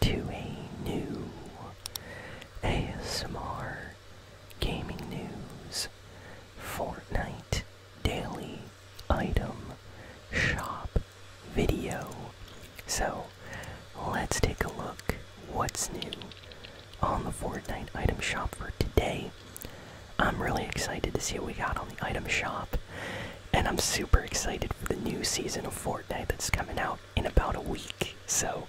to a new ASMR gaming news Fortnite daily item shop video. So let's take a look what's new on the Fortnite item shop for today. I'm really excited to see what we got on the item shop. And I'm super excited for the new season of Fortnite that's coming out in about a week. So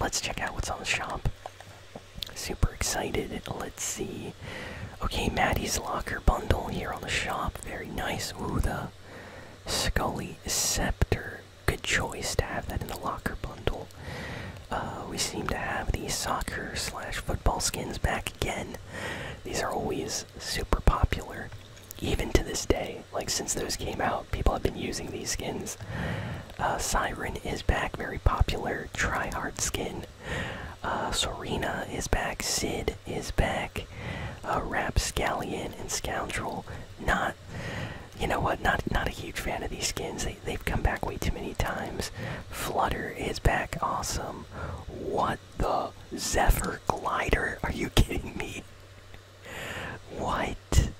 let's check out what's on the shop. Super excited. Let's see. Okay, Maddie's Locker Bundle here on the shop. Very nice. Ooh, the Scully Scepter. Good choice to have that in the Locker Bundle. Uh, we seem to have these soccer slash football skins back again. These are always super popular even to this day, like since those came out, people have been using these skins. Uh, Siren is back, very popular try-hard skin. Uh, Serena is back. Sid is back. Uh, Rapscallion and Scoundrel, not. You know what? Not not a huge fan of these skins. They they've come back way too many times. Flutter is back. Awesome. What the Zephyr glider. Are you kidding me? What?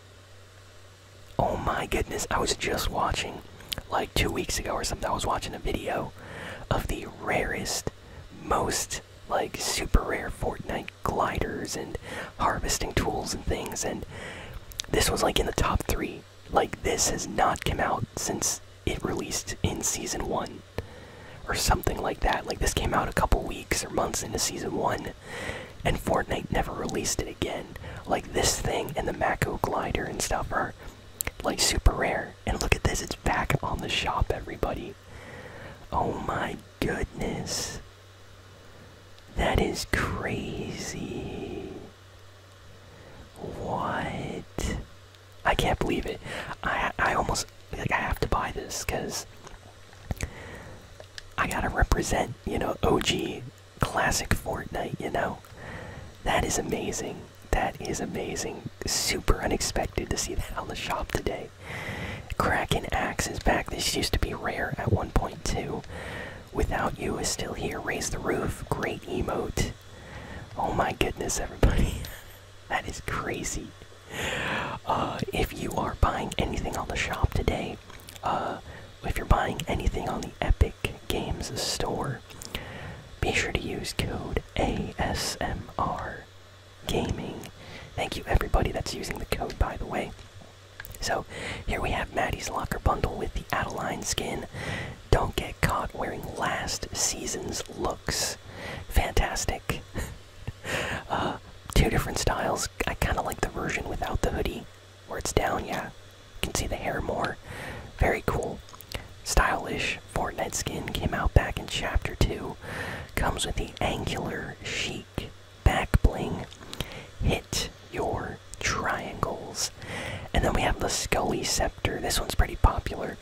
Oh my goodness. I was just watching like two weeks ago or something. I was watching a video of the rarest, most like super rare Fortnite gliders and harvesting tools and things. And this was like in the top three. Like, this has not come out since it released in season one or something like that. Like this came out a couple weeks or months into season one, and Fortnite never released it again. Like this thing and the Mako glider and stuff are like super rare. And look at this, it's back on the shop, everybody. Oh my goodness. That is crazy. What? I can't believe it. I I almost like I have to buy this because I gotta represent, you know, OG classic Fortnite, you know? That is amazing. That is amazing. Super unexpected to see that on the shop today. Cracking axes back. This used to be rare at 1.2. Without You is still here. Raise the Roof. Great emote. Oh my goodness, everybody. that is crazy. Uh, if you are buying anything on the shop today, uh, if you're buying anything on the Epic Games store, be sure to use code ASMR Gaming. Thank you, everybody that's using the code, by the way. So, here we have Maddie's Locker Bundle with the Adeline skin, don't get caught wearing last season's looks. Fantastic. Uh, two different styles. I kind of like the version without the hoodie, where it's down, yeah. You can see the hair more. Very cool. Stylish Fortnite skin came out back in Chapter 2. Comes with the angular chic back bling. Hit your triangles. And then we have the Scully Scepter. This one's pretty popular.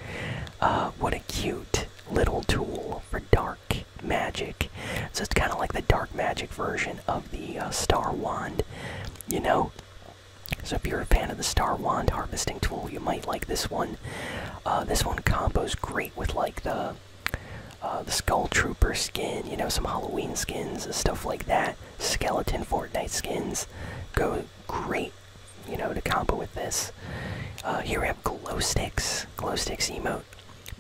Uh, what a cute little tool for dark magic. So it's kind of like the dark magic version of the uh, Star Wand, you know? So if you're a fan of the Star Wand harvesting tool, you might like this one. Uh, this one combos great with like the the Skull Trooper skin, you know, some Halloween skins and stuff like that skeleton Fortnite skins go great, you know, to combo with this. Uh, here we have glow sticks, glow sticks emote.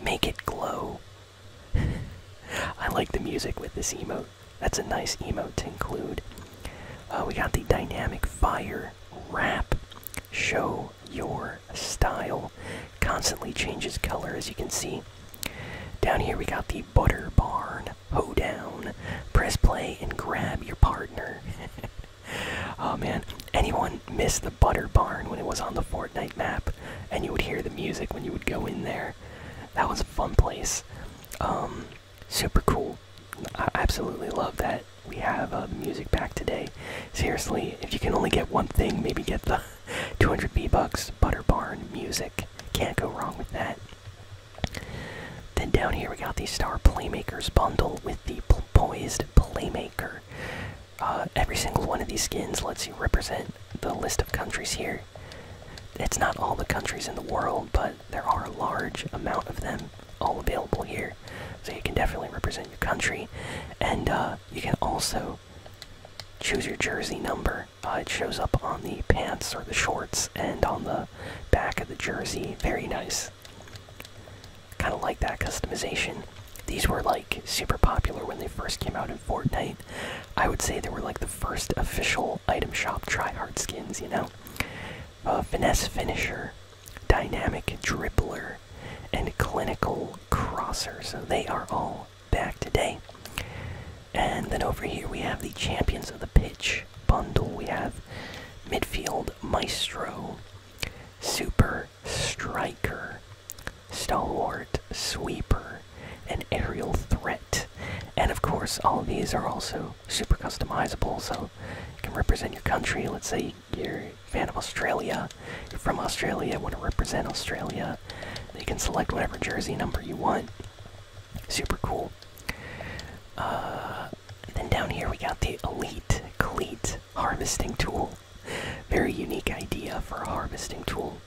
Make it glow. I like the music with this emote. That's a nice emote to include. Uh, we got the dynamic fire wrap. Show your style. Constantly changes color, as you can see. Down here we got the butter barn. Ho down, Press play and grab your partner. oh man, anyone miss the butter barn when it was on the Fortnite map? And you would hear the music when you would go in there. That was a fun place. Um, super cool. I absolutely love that we have uh, music back today. Seriously, if you can only get one thing, maybe get the 200 B-Bucks, Butter Barn, music. Can't go wrong with that. Then down here we got the Star Playmakers bundle with the Poised Playmaker. Uh, every single one of these skins lets you represent the list of countries here. It's not all the countries in the world, but there are a large amount of them all available here. So you can definitely represent your country. And uh, you can also choose your jersey number it shows up on the pants or the shorts and on the back of the jersey. Very nice. Kind of like that customization. These were like super popular when they first came out in Fortnite. I would say they were like the first official item shop tryhard skins, you know? Uh, finesse Finisher, Dynamic Dribbler, and Clinical Crosser. So they are all back today. And then over here we have the Champions of the Pitch bundle. We have Midfield Maestro, Super Striker, Stalwart Sweeper, and Aerial Threat. And of course, all of these are also super customizable, so you can represent your country. Let's say you're a fan of Australia, you're from Australia, want to represent Australia, that. You can select whatever jersey number you want. Super cool. Uh, then down here we got the Elite Cleat Harvesting Tool. Very unique idea for a harvesting tool.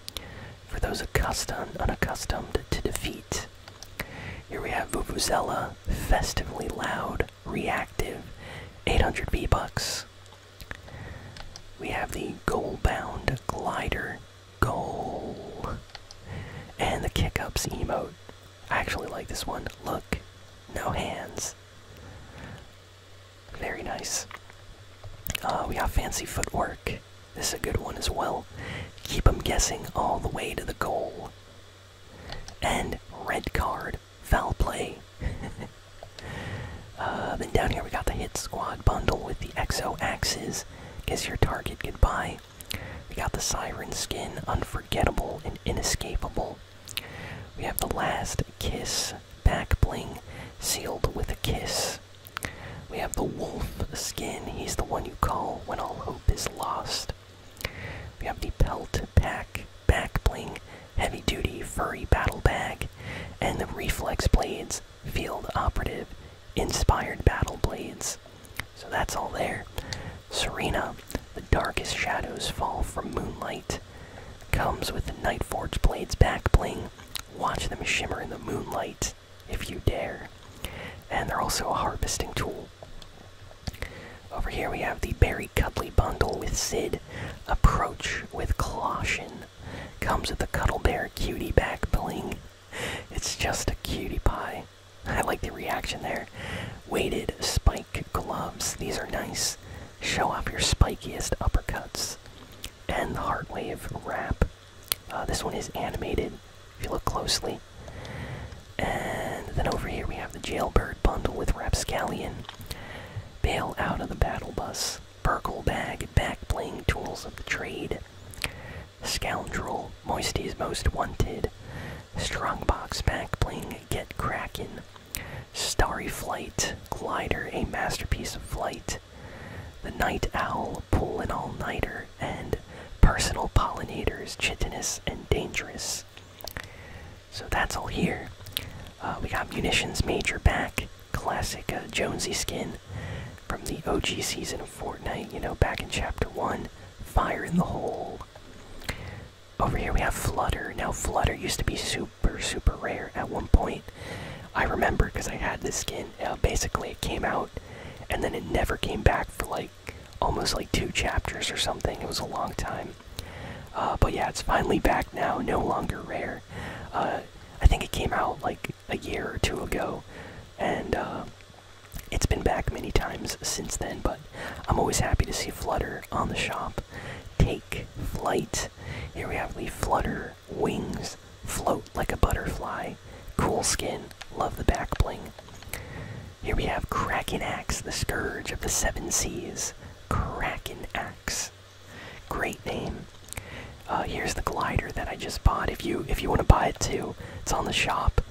For those accustomed, unaccustomed to defeat. Here we have Vuvuzela, Festively Loud, Reactive, 800 B bucks we have the goal-bound glider goal. And the kick-ups emote. I actually like this one. Look, no hands. Very nice. Uh, we have fancy footwork. This is a good one as well. Keep them guessing all the way to the goal. And red card foul play. uh, then down here we got the Hit Squad bundle with the Exo Axes. Guess your target goodbye. We got the Siren skin, unforgettable and inescapable. We have the Last Kiss back bling, sealed with a kiss. We have the Wolf skin, he's the one you call when all hope is lost. We have the Pelt Pack back bling, heavy duty furry battle bag, and the reflex blades, field operative, inspired battle blades. So that's all there. Serena, the darkest shadows fall from moonlight, comes with the Nightforge blades back bling. Watch them shimmer in the moonlight if you dare. And they're also a harvesting tool. Over here we have the Barry Cuddly bundle with Sid, Approach with Colossian. Comes with the Cuddle Bear Cutie Back It's just a cutie pie. I like the reaction there. Weighted spike gloves. These are nice. Show off your spikiest uppercuts. And the Heartwave wrap. Uh, this one is animated, if you look closely. And then over here we have the Jailbird bundle with Rapscallion. Bail out of the Battle Bus. Burkle Bag, Backbling Tools of the Trade. Scoundrel, Moisty's Most Wanted. Strongbox, Backbling, Bling, Get Kraken. Starry Flight, Glider, a masterpiece of flight. The Night Owl, Pull an All Nighter, and Personal Pollinators, Chitinous and Dangerous. So that's all here. Uh, we got Munitions Major back, classic uh, Jonesy skin from the OG season of Fortnite, you know, back in Chapter 1. Fire in the hole. Over here we have Flutter. Now, Flutter used to be super, super rare at one point. I remember because I had this skin. Uh, basically, it came out and then it never came back for like almost like two chapters or something. It was a long time. Uh, but yeah, it's finally back now, no longer rare. Uh, I think it came out like a year or two ago, and uh, it's been back many times since then. But I'm always happy to see Flutter on the shop. Take flight. Here we have the Flutter wings, float like a butterfly. Cool skin, love the back bling. Here we have Kraken Axe, the Scourge of the Seven Seas. Kraken Axe. Great name. Uh, here's the glider that I just bought. If you if you want to buy it too, it's on the shop.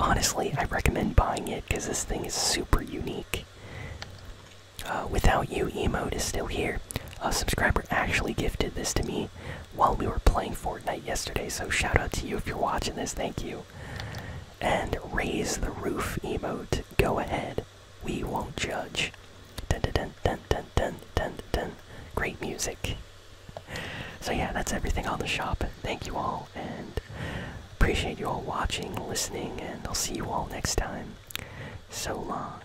Honestly, I recommend buying it because this thing is super unique. Uh, without you, emote is still here. A subscriber actually gifted this to me while we were playing Fortnite yesterday. So shout out to you if you're watching this. Thank you. And raise the roof emote. Go ahead. We won't judge. Dun dun dun dun dun dun dun dun. Great music. So yeah, that's everything on the shop. Thank you all and appreciate you all watching, listening, and I'll see you all next time. So long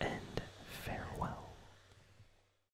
and farewell.